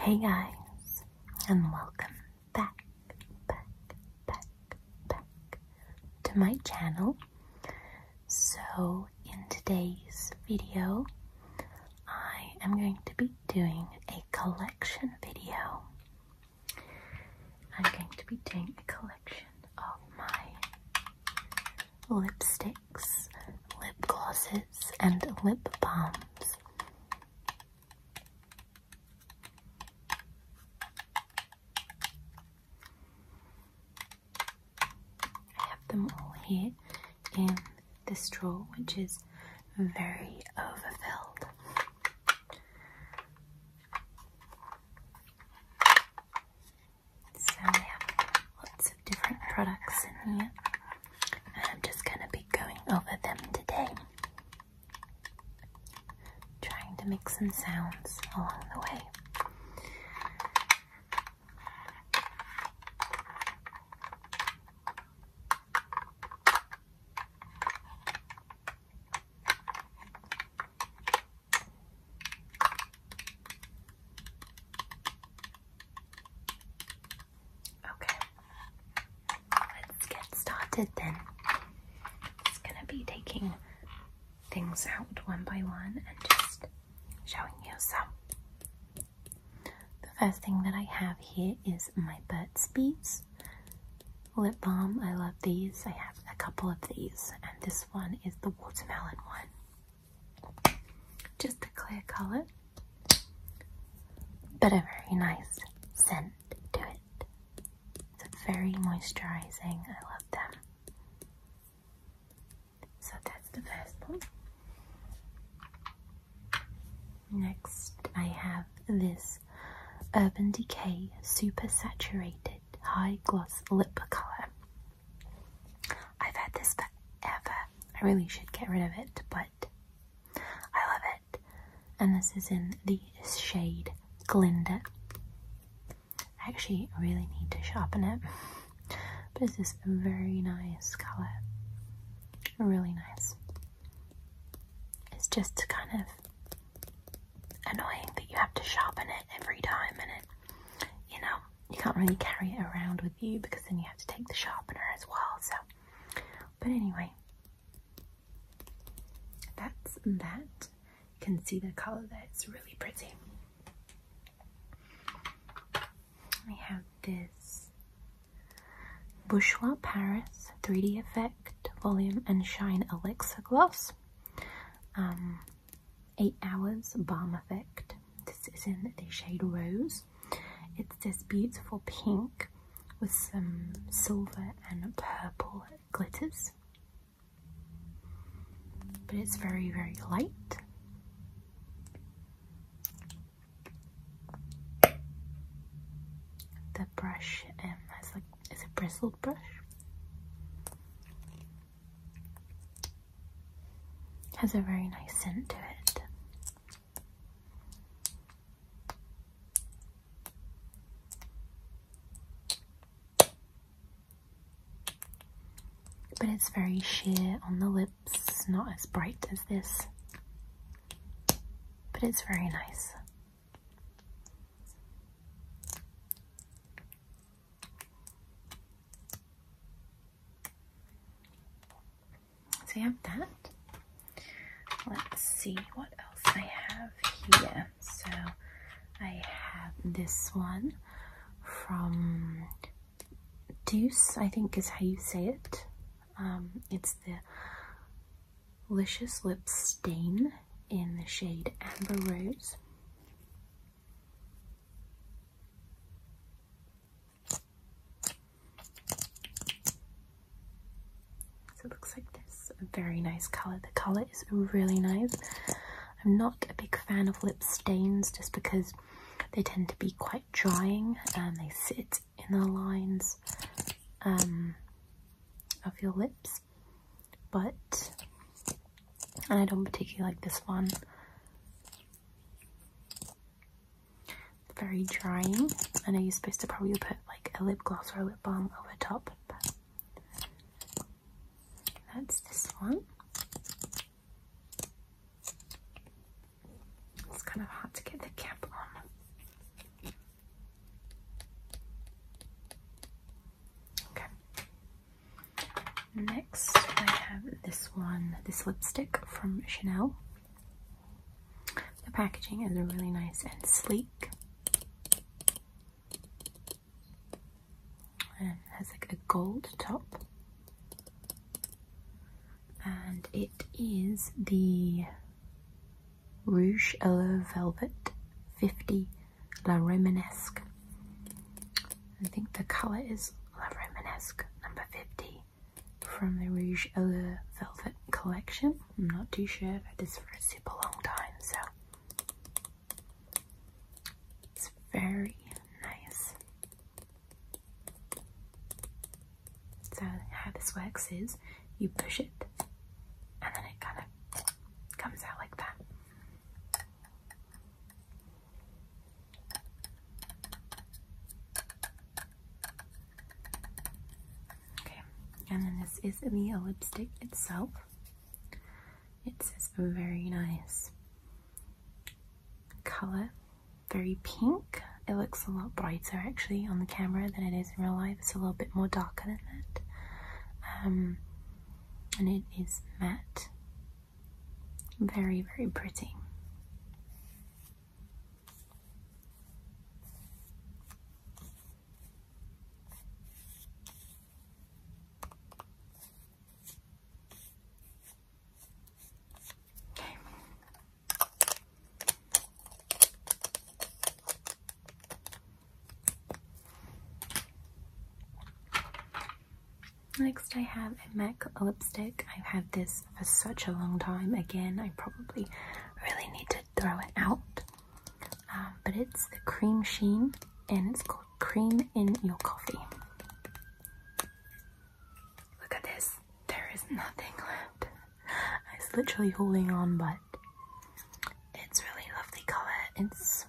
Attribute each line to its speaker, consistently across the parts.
Speaker 1: Hey guys, and welcome back, back, back, back to my channel. So, in today's video, I am going to be doing a collection video. I'm going to be doing a collection of my lipsticks, lip glosses, and lip balms. I have them all here in this drawer, which is very overfilled. So we have lots of different products in here, and I'm just going to be going over them today. Trying to make some sounds along the way. Okay let's get started then. It's gonna be taking things out one by one and just showing you some. The first thing that I have here is my Burt's Bees lip balm. I love these. I have a couple of these and this one is the watermelon one. Just a clear color but a very nice scent to it. They're very moisturizing. I love them. So that's the first one. Next, I have this Urban Decay Super Saturated High Gloss Lip Color. I've had this forever. I really should get rid of it, but I love it and this is in the shade Glinda. I actually really need to sharpen it, but it's just a very nice color, really nice. It's just kind of annoying that you have to sharpen it every time, and you know, you can't really carry it around with you because then you have to take the sharpener as well. So, but anyway, that's that. You can see the color there, it's really pretty. We have this Bourgeois Paris 3D Effect Volume and Shine Elixir Gloss. Um, 8 Hours Balm Effect. This is in the shade Rose. It's this beautiful pink with some silver and purple glitters but it's very very light the brush um, has like it's a bristled brush has a very nice scent to it but it's very sheer on the lips, not as bright as this, but it's very nice. So you have that. Let's see what else I have here. So I have this one from Deuce, I think is how you say it. Um, it's the Licious Lip Stain in the shade Amber Rose. So it looks like this. A very nice colour. The colour is really nice. I'm not a big fan of lip stains just because they tend to be quite drying and they sit in the lines um, of your lips. But, I don't particularly like this one. Very drying. I know you're supposed to probably put like a lip gloss or a lip balm over top. that's this one. It's kind of hard to get the cap on. Okay. Next, I have this one, this lipstick from Chanel. The packaging is really nice and sleek and has like a gold top and it is the Rouge Yellow Velvet 50 La Romanesque. I think the colour is La Romanesque number 50 from the Rouge Yellow Velvet collection. I'm not too sure. I've this for a super long time, so it's very nice. So how this works is you push it and then it kind of comes out like that. Okay, and then this is the lipstick itself. It's this very nice color, very pink. It looks a lot brighter actually on the camera than it is in real life. It's a little bit more darker than that. Um, and it is matte. Very, very pretty. Next, I have a MAC lipstick. I've had this for such a long time. Again, I probably really need to throw it out. Um, but it's the cream sheen and it's called cream in your coffee look at this there is nothing left i was literally holding on but it's really lovely color it's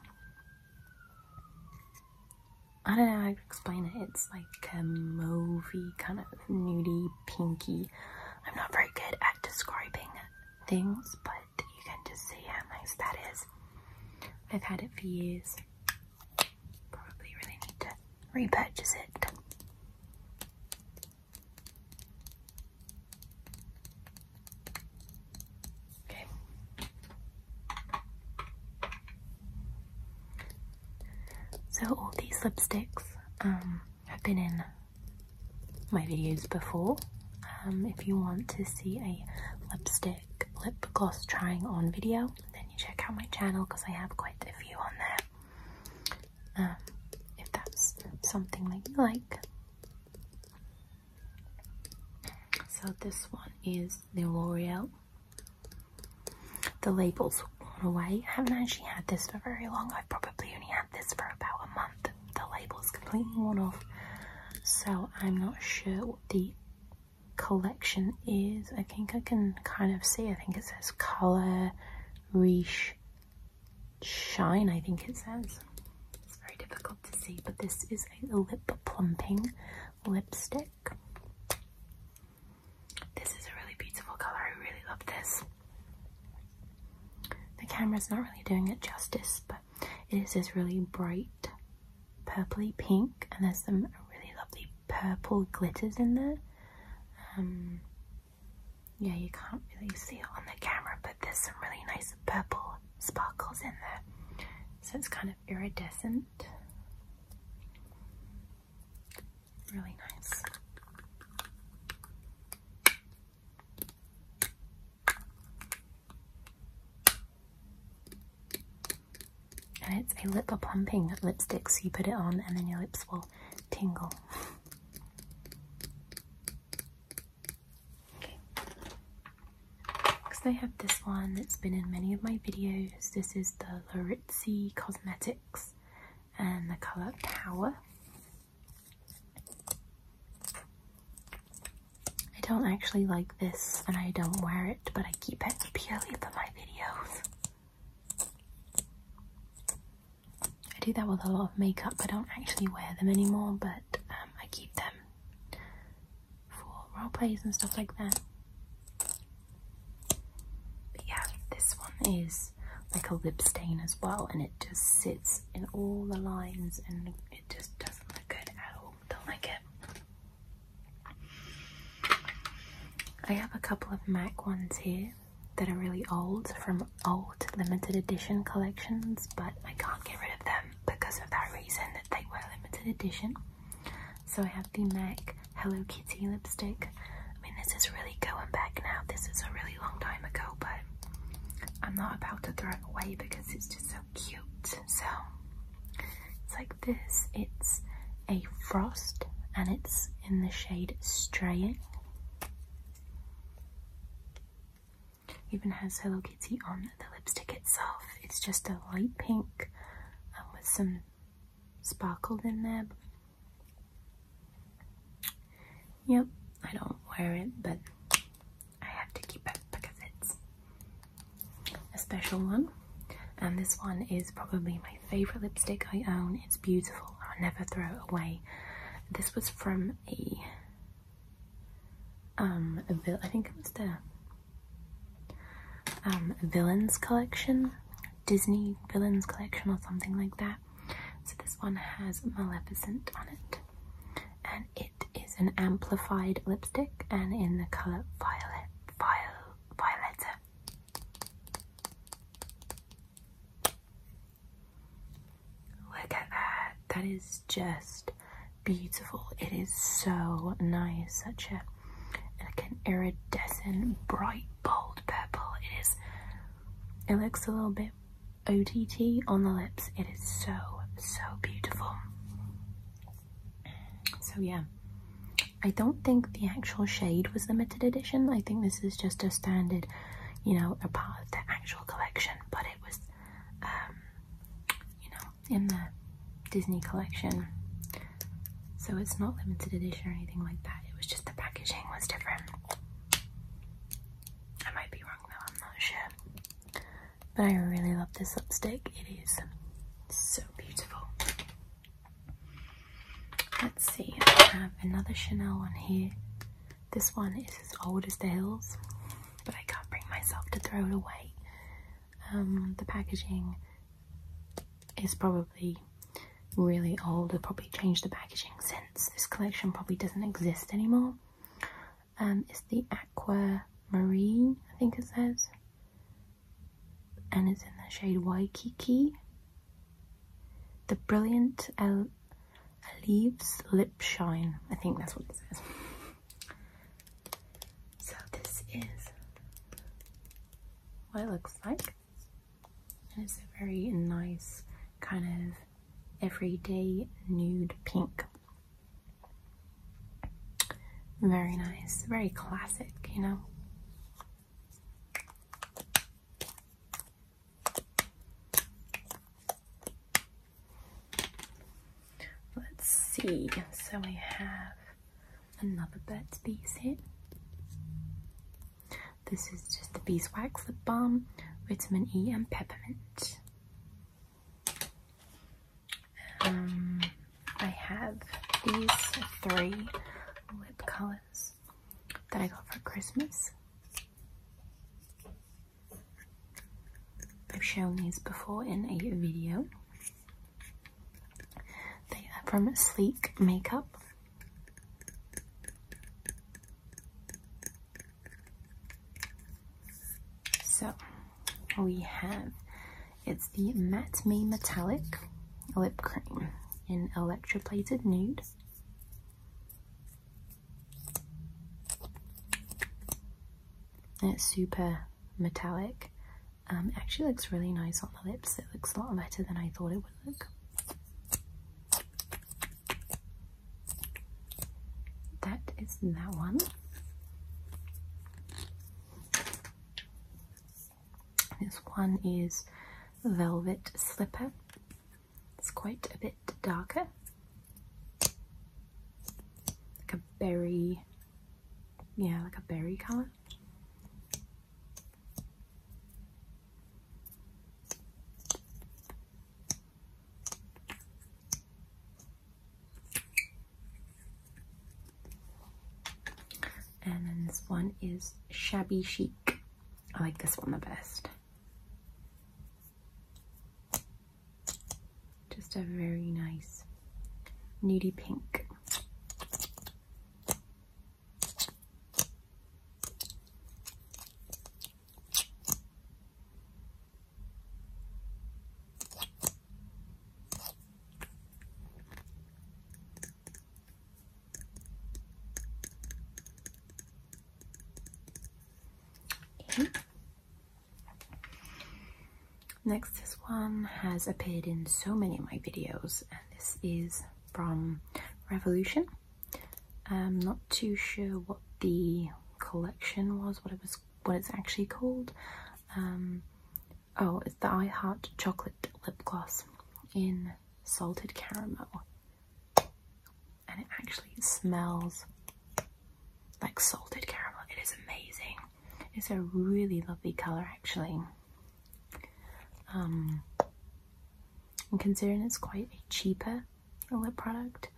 Speaker 1: i don't know how to explain it it's like a movie kind of nudie pinky. I'm not very good at describing things, but you can just see how nice that is. I've had it for years. Probably really need to repurchase it. Okay. So all these lipsticks, um, i have been in my videos before. Um, if you want to see a lipstick lip gloss trying on video, then you check out my channel because I have quite a few on there. Um, if that's something that you like. So this one is the L'Oreal. The label's worn away. I haven't actually had this for very long. I've probably only had this for about a month. The label is completely worn off, so I'm not sure what the collection is. I think I can kind of see. I think it says color, reach, shine. I think it says. It's very difficult to see, but this is a lip plumping lipstick. This is a really beautiful color. I really love this. The camera's not really doing it justice, but it is this really bright purpley pink, and there's some really lovely purple glitters in there. Um, yeah, you can't really see it on the camera, but there's some really nice purple sparkles in there. So it's kind of iridescent. Really nice. And it's a lip plumping lipstick, so you put it on and then your lips will tingle. okay. Next I have this one that's been in many of my videos. This is the Larizzi Cosmetics and the colour Power. I don't actually like this and I don't wear it, but I keep it purely for my videos. I do that with a lot of makeup. I don't actually wear them anymore, but um, I keep them for role plays and stuff like that. But yeah, this one is like a lip stain as well and it just sits in all the lines and it just doesn't look good at all. Don't like it. I have a couple of MAC ones here that are really old from old limited edition collections but I can't get rid of them because of that reason that they were limited edition. So I have the MAC Hello Kitty lipstick I mean, this is really going back now. This is a really long time ago, but I'm not about to throw it away because it's just so cute. So it's like this. It's a frost and it's in the shade Straying. Even has Hello Kitty on the lipstick itself. It's just a light pink with some sparkles in there. Yep, I don't wear it, but I have to keep it because it's a special one. And this one is probably my favorite lipstick I own. It's beautiful. I'll never throw it away. This was from a um I think it was the um villains collection, Disney villains collection or something like that. So this one has Maleficent on it, and it is an amplified lipstick, and in the color violet, violet, Look at that! That is just beautiful. It is so nice. Such an iridescent, bright, bold purple. It is. It looks a little bit it OTT on the lips. It is so, so beautiful. So, yeah, I don't think the actual shade was limited edition. I think this is just a standard, you know, a part of the actual collection, but it was, um, you know, in the Disney collection. So, it's not limited edition or anything like that. It was just the packaging was different. I might be wrong though, I'm not sure. But I really love this lipstick, it is so beautiful. Let's see, I have another Chanel on here. This one is as old as the hills, but I can't bring myself to throw it away. Um, the packaging is probably really old. they probably changed the packaging since. This collection probably doesn't exist anymore. Um, it's the Aqua Marine, I think it says, and it's in the shade Waikiki. The Brilliant Leaves Lip Shine, I think that's what it says. So this is what it looks like. And it's a very nice kind of everyday nude pink. Very nice, very classic, you know. Let's see, so we have another Burt's Bees here. This is just the beeswax, lip balm, vitamin E and peppermint. Um, I have these three lip colours that I got for Christmas. I've shown these before in a video. They are from Sleek Makeup so we have it's the Matte Me Metallic Lip Cream in Electroplated Nude. It's super metallic. Um, it actually looks really nice on the lips. It looks a lot better than I thought it would look. That is that one. This one is Velvet Slipper. It's quite a bit darker. Like a berry, yeah, like a berry colour. And then this one is Shabby Chic. I like this one the best. Just a very nice nudie pink. Next, this one has appeared in so many of my videos, and this is from Revolution. I'm not too sure what the collection was, what it was, what it's actually called. Um, oh, it's the I Heart Chocolate Lip Gloss in salted caramel, and it actually smells like salted caramel. It is amazing. It's a really lovely color, actually. Um, considering it's quite a cheaper lip product,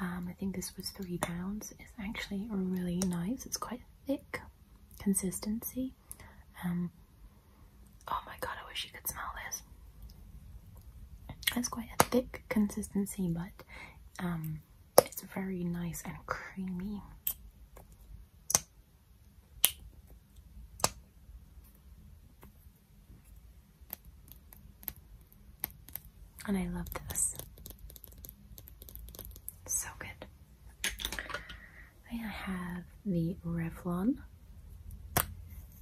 Speaker 1: um, I think this was three pounds. It's actually really nice. It's quite thick consistency. Um, oh my god, I wish you could smell this. It's quite a thick consistency, but um, it's very nice and creamy. And I love this. So good. I have the Revlon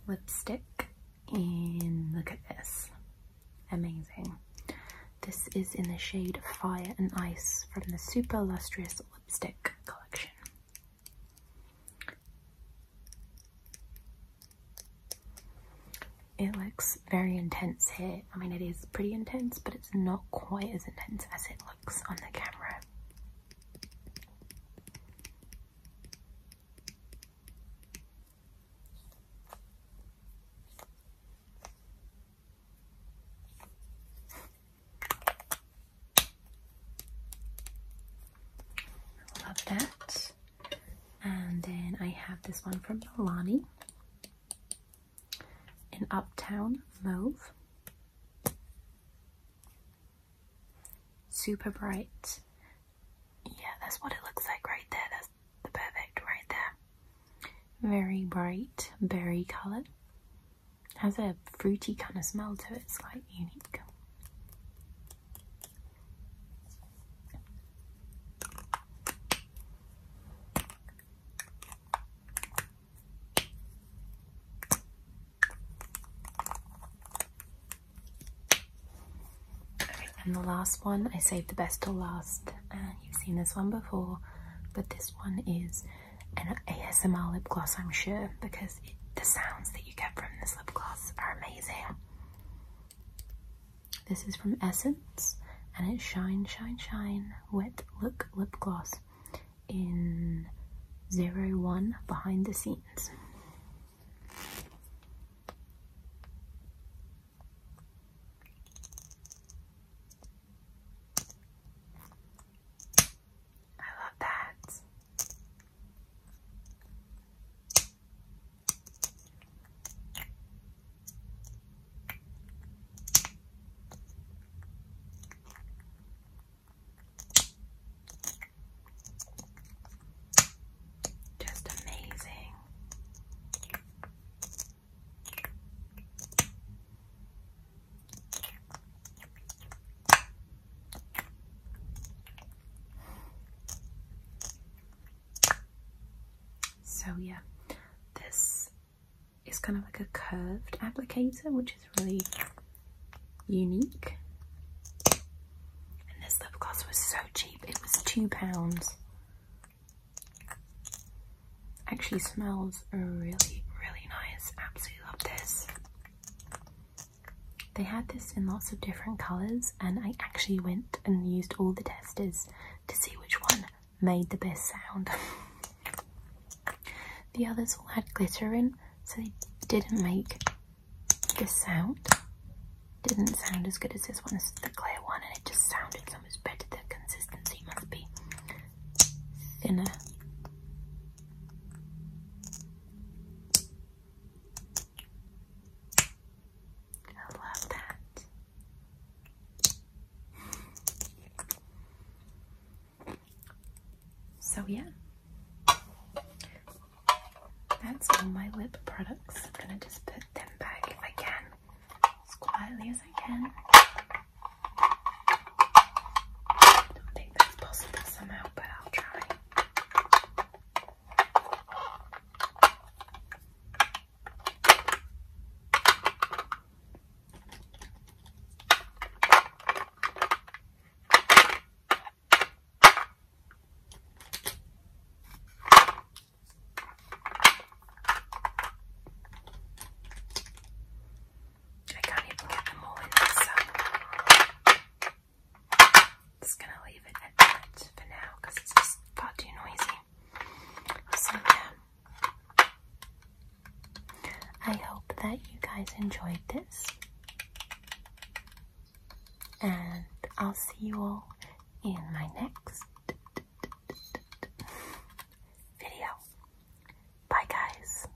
Speaker 1: lipstick and look at this. Amazing. This is in the shade Fire and Ice from the Super Lustrous Lipstick Collection. It looks very intense here. I mean, it is pretty intense, but it's not quite as intense as it looks on the camera love that. And then I have this one from Milani in Uptown Mauve. Super bright. Yeah, that's what it looks like right there. That's the perfect right there. Very bright berry color. It has a fruity kind of smell to it, it's quite unique. and the last one, I saved the best till last, you've seen this one before, but this one is an ASMR lip gloss, I'm sure, because the sounds that you get from this lip gloss are amazing. This is from Essence and it's Shine Shine Shine Wet Look Lip Gloss in Zero One Behind the Scenes. I love that. Just amazing. So yeah, this is kind of like a curved applicator, which is really unique. And this lip gloss was so cheap, it was two pounds. Actually smells really, really nice. Absolutely love this. They had this in lots of different colours, and I actually went and used all the testers to see which one made the best sound. the others all had glitter in, so they didn't make this sound. Didn't sound as good as this one, this the clear one, and it just sounded so much better. The consistency must be thinner. I love that. So, yeah, that's all my lip products. I'm gonna just put them back if as quietly as I can. I don't think that's possible somehow, but I'll try. I can't even get them all in, so gonna leave it at that for now because it's just far noisy. So yeah, I hope that you guys enjoyed this, and I'll see you all in my next video. Bye, guys.